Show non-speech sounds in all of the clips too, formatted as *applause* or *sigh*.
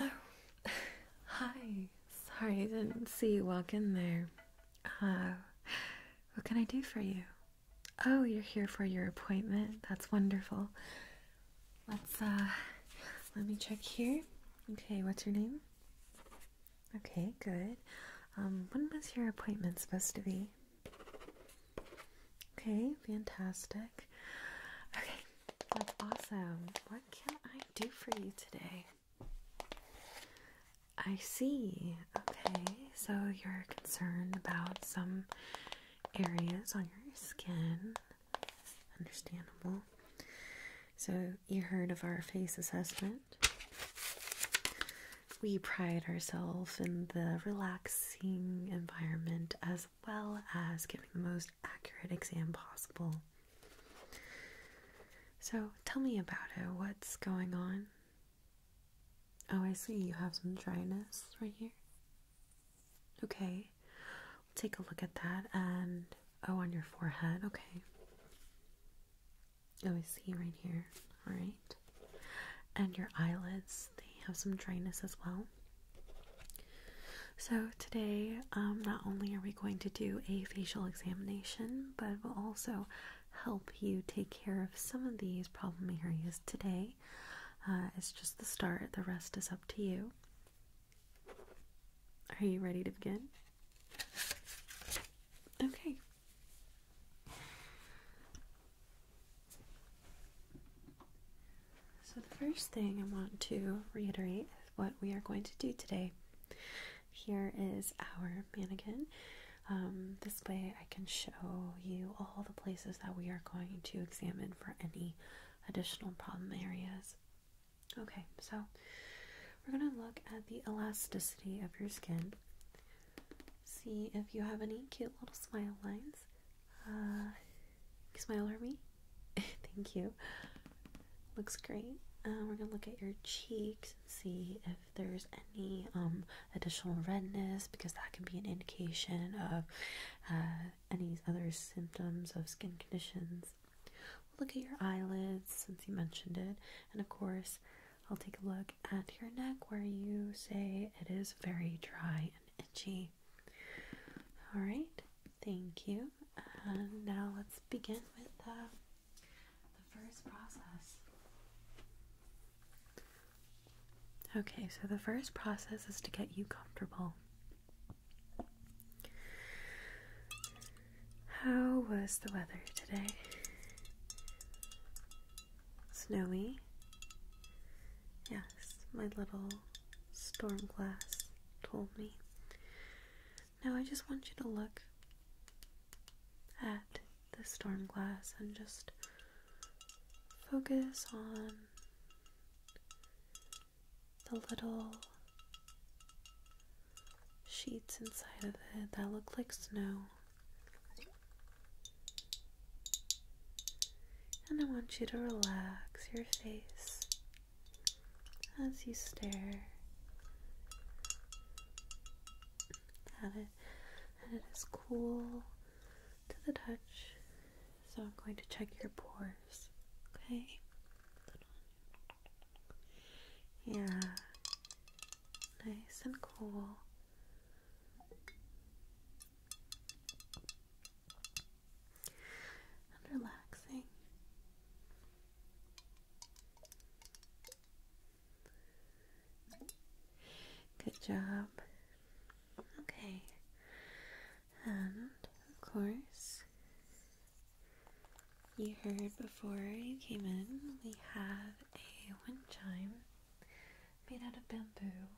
Oh, *laughs* hi. Sorry, I didn't see you walk in there. Oh, what can I do for you? Oh, you're here for your appointment. That's wonderful. Let's, uh, let me check here. Okay, what's your name? Okay, good. Um, when was your appointment supposed to be? Okay, fantastic. Okay, that's awesome. What can I do for you today? I see. Okay, so you're concerned about some areas on your skin. Understandable. So, you heard of our face assessment. We pride ourselves in the relaxing environment as well as giving the most accurate exam possible. So tell me about it. What's going on? Oh, I see you have some dryness right here. Okay, we'll take a look at that. And oh, on your forehead. Okay. Oh, I see right here. All right. And your eyelids, they have some dryness as well. So, today, um, not only are we going to do a facial examination, but also help you take care of some of these problem areas today. Uh, it's just the start, the rest is up to you. Are you ready to begin? Okay. So, the first thing I want to reiterate is what we are going to do today here is our mannequin. Um, this way, I can show you all the places that we are going to examine for any additional problem areas. Okay, so we're going to look at the elasticity of your skin. See if you have any cute little smile lines. Uh, smile at me. *laughs* Thank you. Looks great. Uh, we're going to look at your cheeks see if there's any um, additional redness because that can be an indication of uh, any other symptoms of skin conditions. look at your eyelids since you mentioned it, and of course, I'll take a look at your neck where you say it is very dry and itchy. All right, thank you. And now let's begin with. the. Uh, the first process. Okay, so the first process is to get you comfortable. How was the weather today? Snowy? Yes, my little storm glass told me. Now I just want you to look at the storm glass and just focus on the little sheets inside of it that look like snow. And I want you to relax your face as you stare that it and it is cool to the touch. So I'm going to check your pores. Okay. Yeah. Nice and cool. And relaxing. Good job. Okay. And, of course, you heard before you came in, we have a wind chime made out of bamboo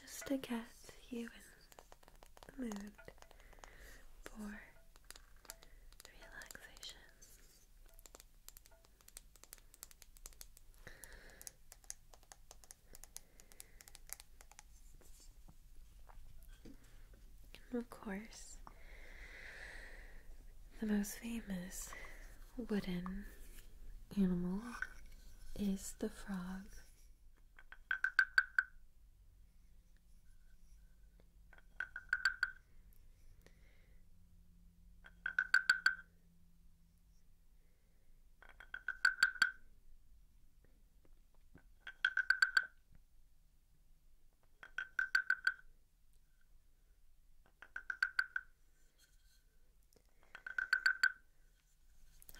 just to get you in the mood for relaxation. of course, the most famous wooden animal is the frog.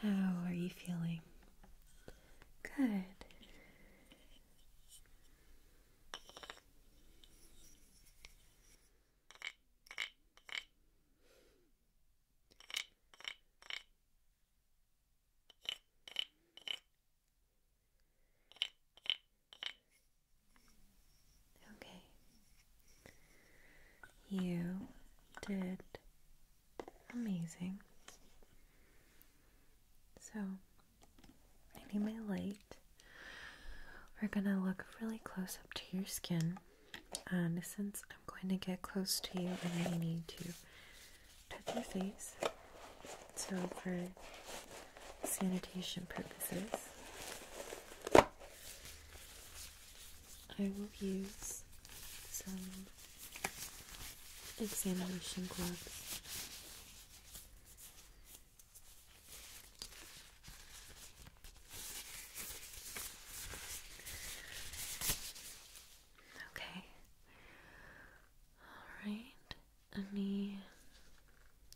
How are you feeling? Good. Okay. You did amazing. So, I need my light. We're gonna look really close up to your skin. And since I'm going to get close to you, I may need to touch your face. So, for sanitation purposes, I will use some examination gloves. Okay. All right. Any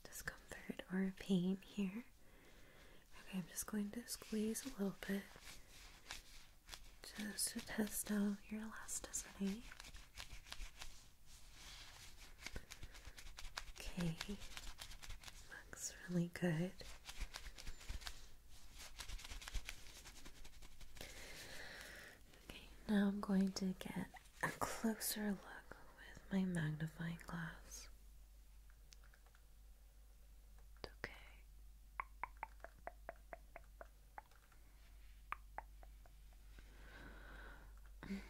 discomfort or pain here? Okay, I'm just going to squeeze a little bit just to test out your elasticity. Okay, looks really good. Okay, now I'm going to get a closer look with my magnifying glass. It's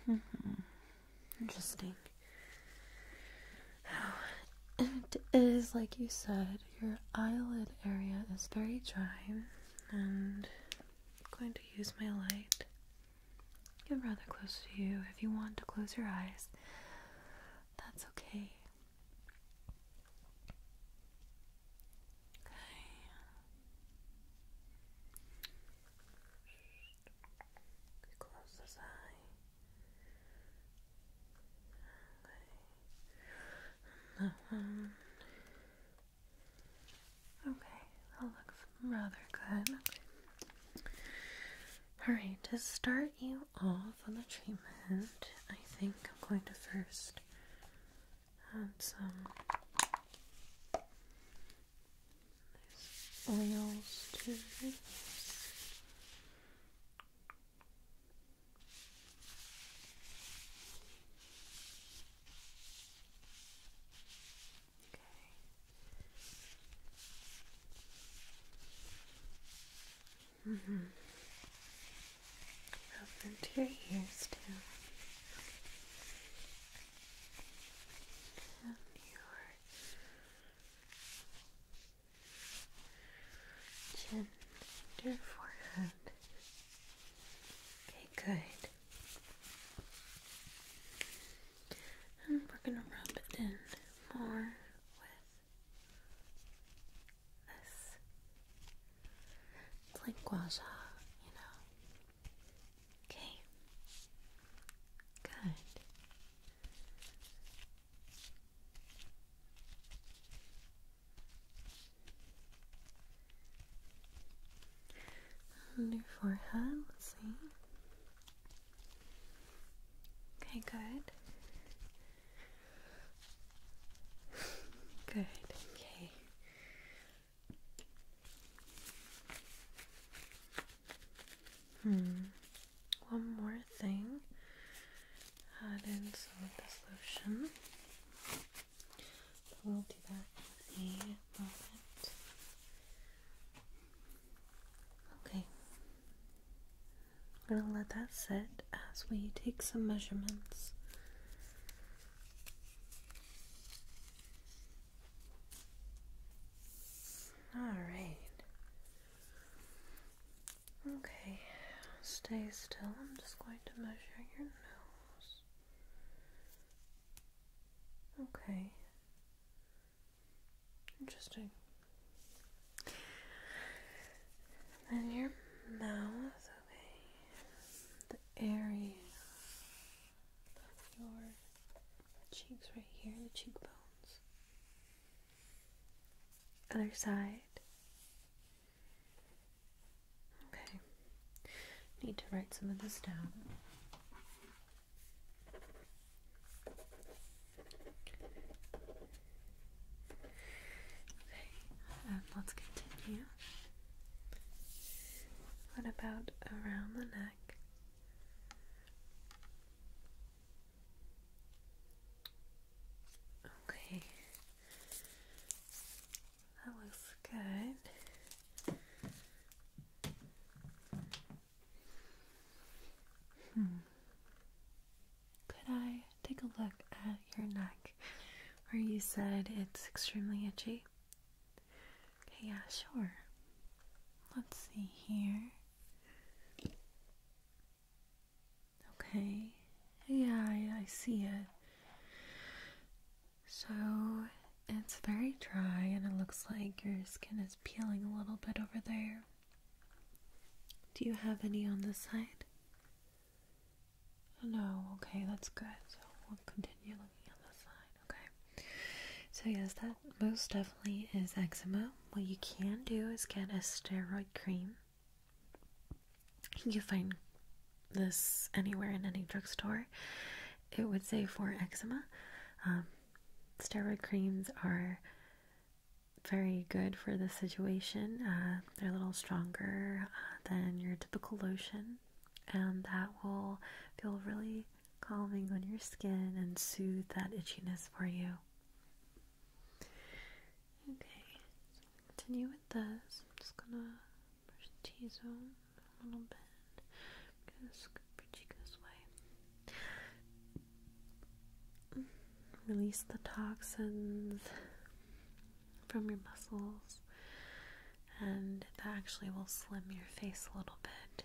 okay. *laughs* Interesting. it is, like you said, your eyelid area is very dry, and I'm going to use my light. Get rather close to you if you want to close your eyes. That's okay. Okay. close this eye. Okay. that looks rather good. Alright, to start you off on the treatment, I think I'm going to first add some oils to Mm -hmm. your ears too. And your chin your forehead. Okay, good. And we're gonna rub it in more with it's like gua you know. Okay. Good. your forehead, let's see. Okay, good. Good, okay. Hmm. One more thing. Add in some of this lotion. we'll do that in a moment. Okay. I'm going to let that sit as we take some measurements. Alright. Okay, stay still. I'm just going to measure your nose. Okay. Interesting. And your mouth, okay, the area of your cheeks right here, the cheekbones. Other side. Okay, need to write some of this down. Okay, um, let's continue. What about around the neck? Okay, that looks good. Hmm could I take a look at your neck where you said it's extremely itchy? Okay, yeah, sure. Let's see here. Okay, yeah, I, see it. So it's very dry, and it looks like your skin is peeling a little bit over there. Do you have any on the side? No, okay, that's good. So we'll continue looking on the side, okay? So, yes, that most definitely is eczema. What you can do is get a steroid cream. You can find this anywhere in any drugstore. It would say for eczema. Um, steroid creams are very good for this situation. Uh, they're a little stronger uh, than your typical lotion, and that will feel really calming on your skin and soothe that itchiness for you. Okay, continue with this. I'm just gonna push the T zone a little bit. I'm scoop your cheek this way. Release the toxins from your muscles, and that actually will slim your face a little bit.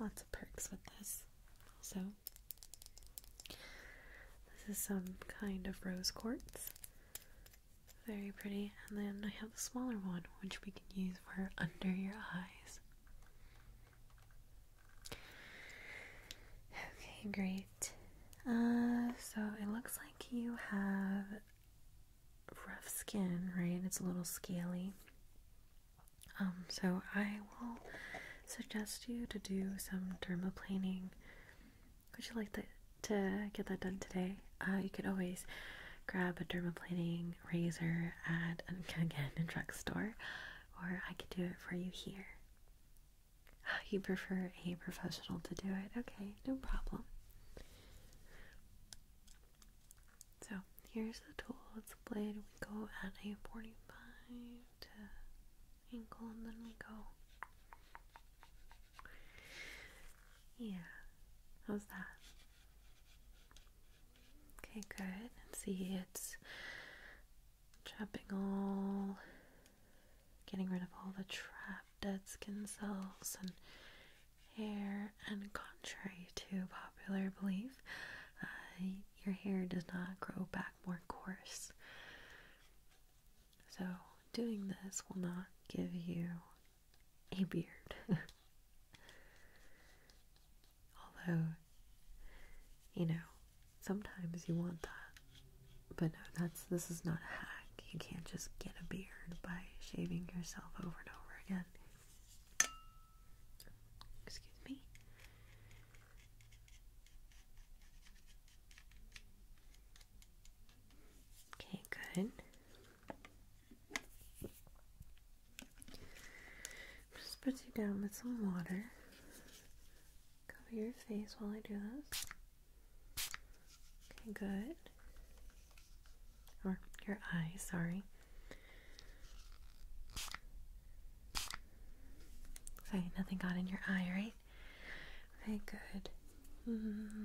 Lots of perks with this. So, this is some kind of rose quartz. Very pretty. And then I have the smaller one, which we can use for under your eyes. Okay, great. Uh, so it looks like you have rough skin, right? It's a little scaly. Um, so I will suggest you to do some dermaplaning. Would you like to get that done today? Uh, you could always grab a dermaplaning razor at *laughs* again a drugstore, or I could do it for you here. Oh, *sighs* you prefer a professional to do it? Okay, no problem. So, here's the tool. It's a blade. We go at a 45 to angle, and then we go. Yeah, how's that? Okay, good. And see, it's Trapping all, getting rid of all the trapped dead skin cells and hair. And contrary to popular belief, uh, your hair does not grow back more coarse. So, doing this will not give you a beard. *laughs* Although you know, sometimes you want that. But no, that's this is not a hack. You can't just get a beard by shaving yourself over and over again. Excuse me. Okay, good. Just put you down with some water. Cover your face while I do this. Okay, good. Or your eye, sorry. So nothing got in your eye, right? Okay, good. Mm-hmm.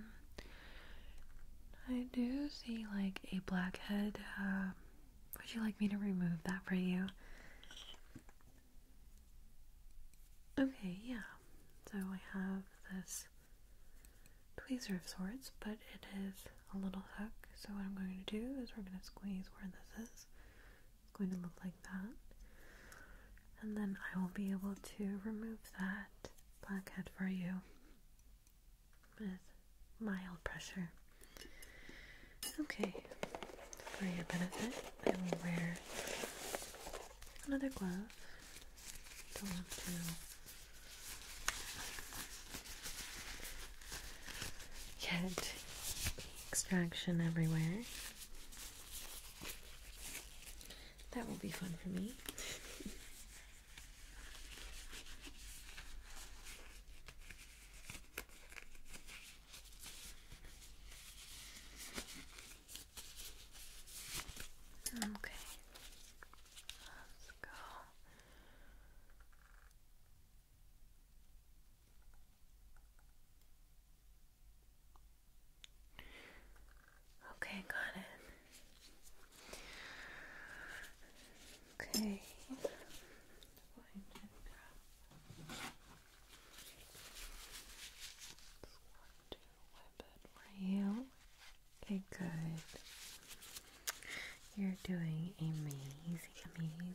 I do see like a blackhead. Uh, would you like me to remove that for you? Okay, yeah. So I have this tweezer of sorts, but it is a little hook. So what I'm going to do is we're going to squeeze where this is. It's going to look like that. And then I will be able to remove that blackhead for you with mild pressure. Okay, for your benefit, I will wear another glove. Don't want to get extraction everywhere. That will be fun for me. Okay, let's go. Okay, got it. Okay to whip for you. Okay, good. You're doing amazing, amazing.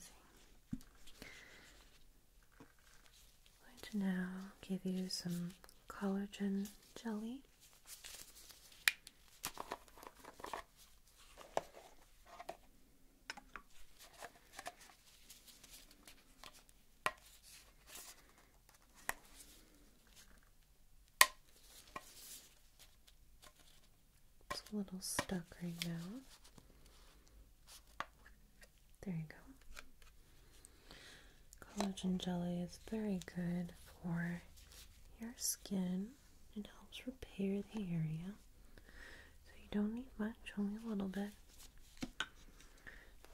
going to now give you some collagen jelly. It's a little stuck right now. There you go. Collagen jelly is very good for your skin. It helps repair the area. So you don't need much, only a little bit. I'm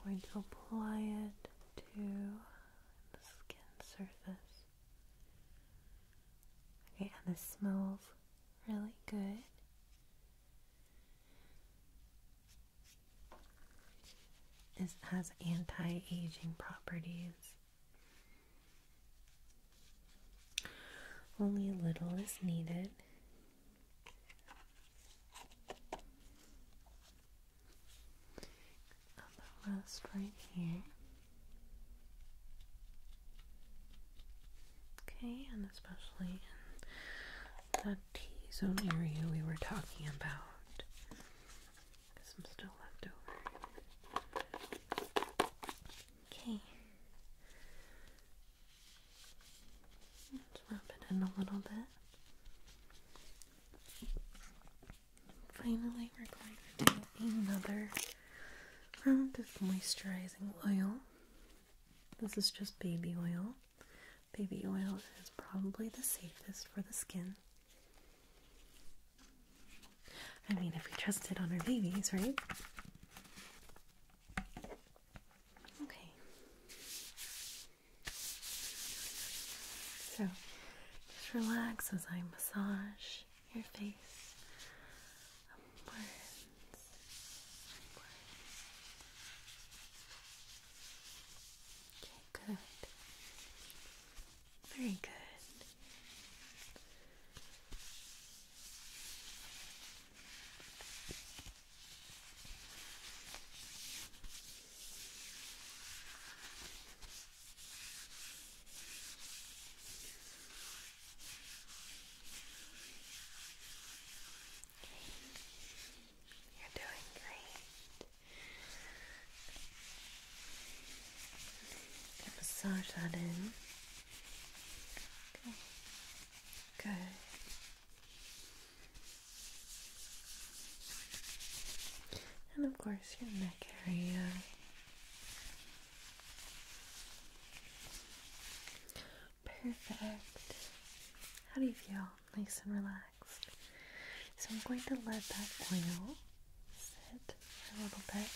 going to apply it to the skin surface. Okay, and this smells really good. It has anti-aging properties. Only a little is needed. A little right here. Okay, and especially in that T-zone area we were talking about. Because still left over. Okay. Let's rub it in a little bit. Finally, we're going to do another round of moisturizing oil. This is just baby oil. Baby oil is probably the safest for the skin. I mean, if we trust it on our babies, right? Okay. So just relax as I massage your face Okay, good. Very good. You're doing great. massage that in. Okay. Good. And of course, your neck area. Perfect. How do you feel? Nice and relaxed. So, I'm going to let that oil sit a little bit.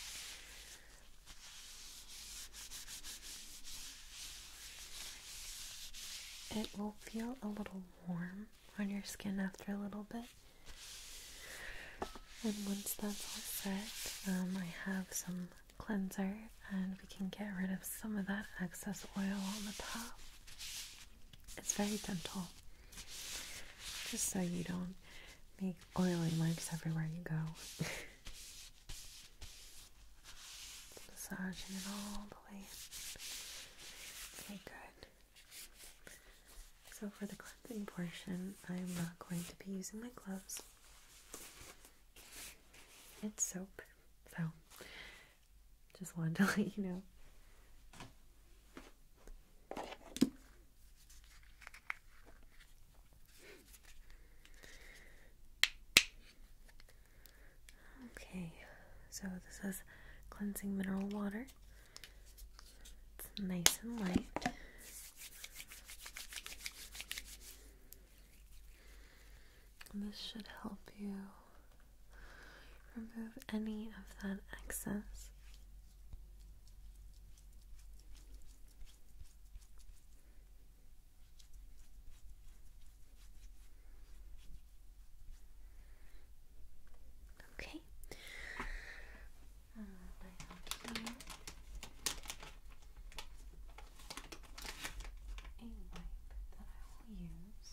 It will feel a little warm on your skin after a little bit. And once that's all set, um, I have some cleanser and we can get rid of some of that excess oil on the top. It's very gentle, just so you don't make oily marks everywhere you go. *laughs* Massaging it all the way in. Okay, good. So for the cleansing portion, I'm not going to be using my gloves. It's soap, so just wanted to *laughs* let you know. Okay, so this is cleansing mineral water. It's nice and light. this should help you remove any of that excess. Okay. I have here a wipe that I will use.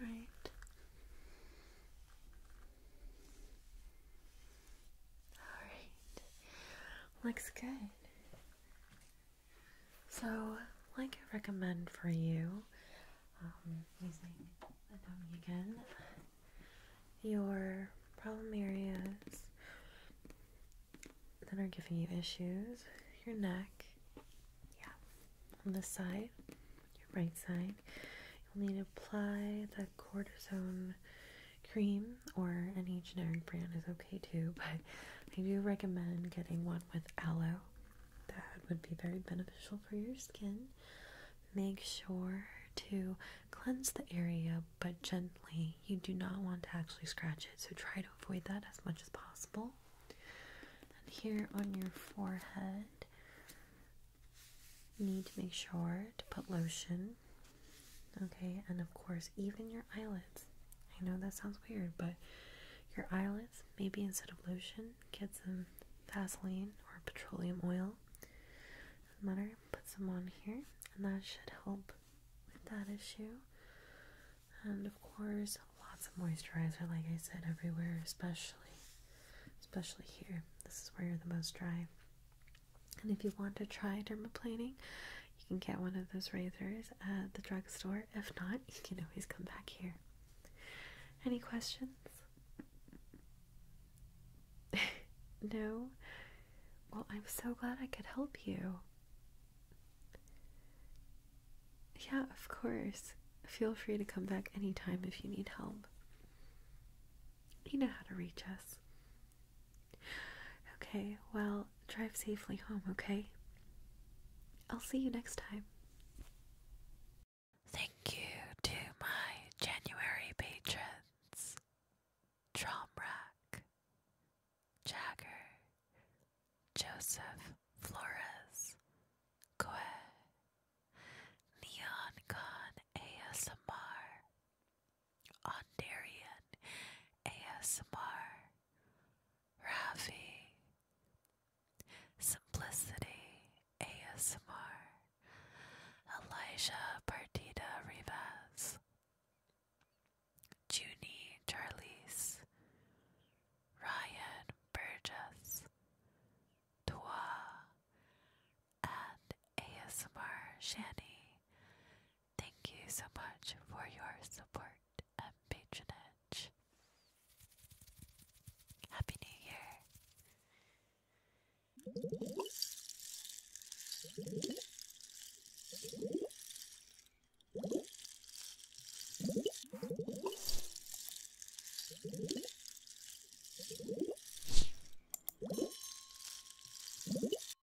Right. All right. Looks good. So, like I recommend for you, using the dummy again, your problem areas that are giving you issues, your neck, yeah, on this side, your right side, you'll need to apply the cortisone cream or any generic brand is okay too, but I do recommend getting one with aloe. That would be very beneficial for your skin. Make sure to cleanse the area but gently. You do not want to actually scratch it, so try to avoid that as much as possible. And here on your forehead, you need to make sure to put lotion Okay, and of course, even your eyelids. I know that sounds weird, but your eyelids, maybe instead of lotion, get some Vaseline or petroleum oil. matter, put some on here, and that should help with that issue. And of course, lots of moisturizer, like I said, everywhere, especially, especially here. This is where you're the most dry. And if you want to try dermaplaning, you can get one of those razors at the drugstore. If not, you can always come back here. Any questions? *laughs* no? Well, I'm so glad I could help you. Yeah, of course. Feel free to come back anytime if you need help. You know how to reach us. Okay, well, drive safely home, okay? I'll see you next time. Thank you to my January patrons Tromrack, Jagger, Joseph Flores, Kwe, Neon Ondarian ASMR, Ravi, Simplicity ASMR, Elijah Partida Rivas, Junie Charlize, Ryan Burgess, Tua, and ASMR Shani Thank you so much for your support and patronage. Happy New Year!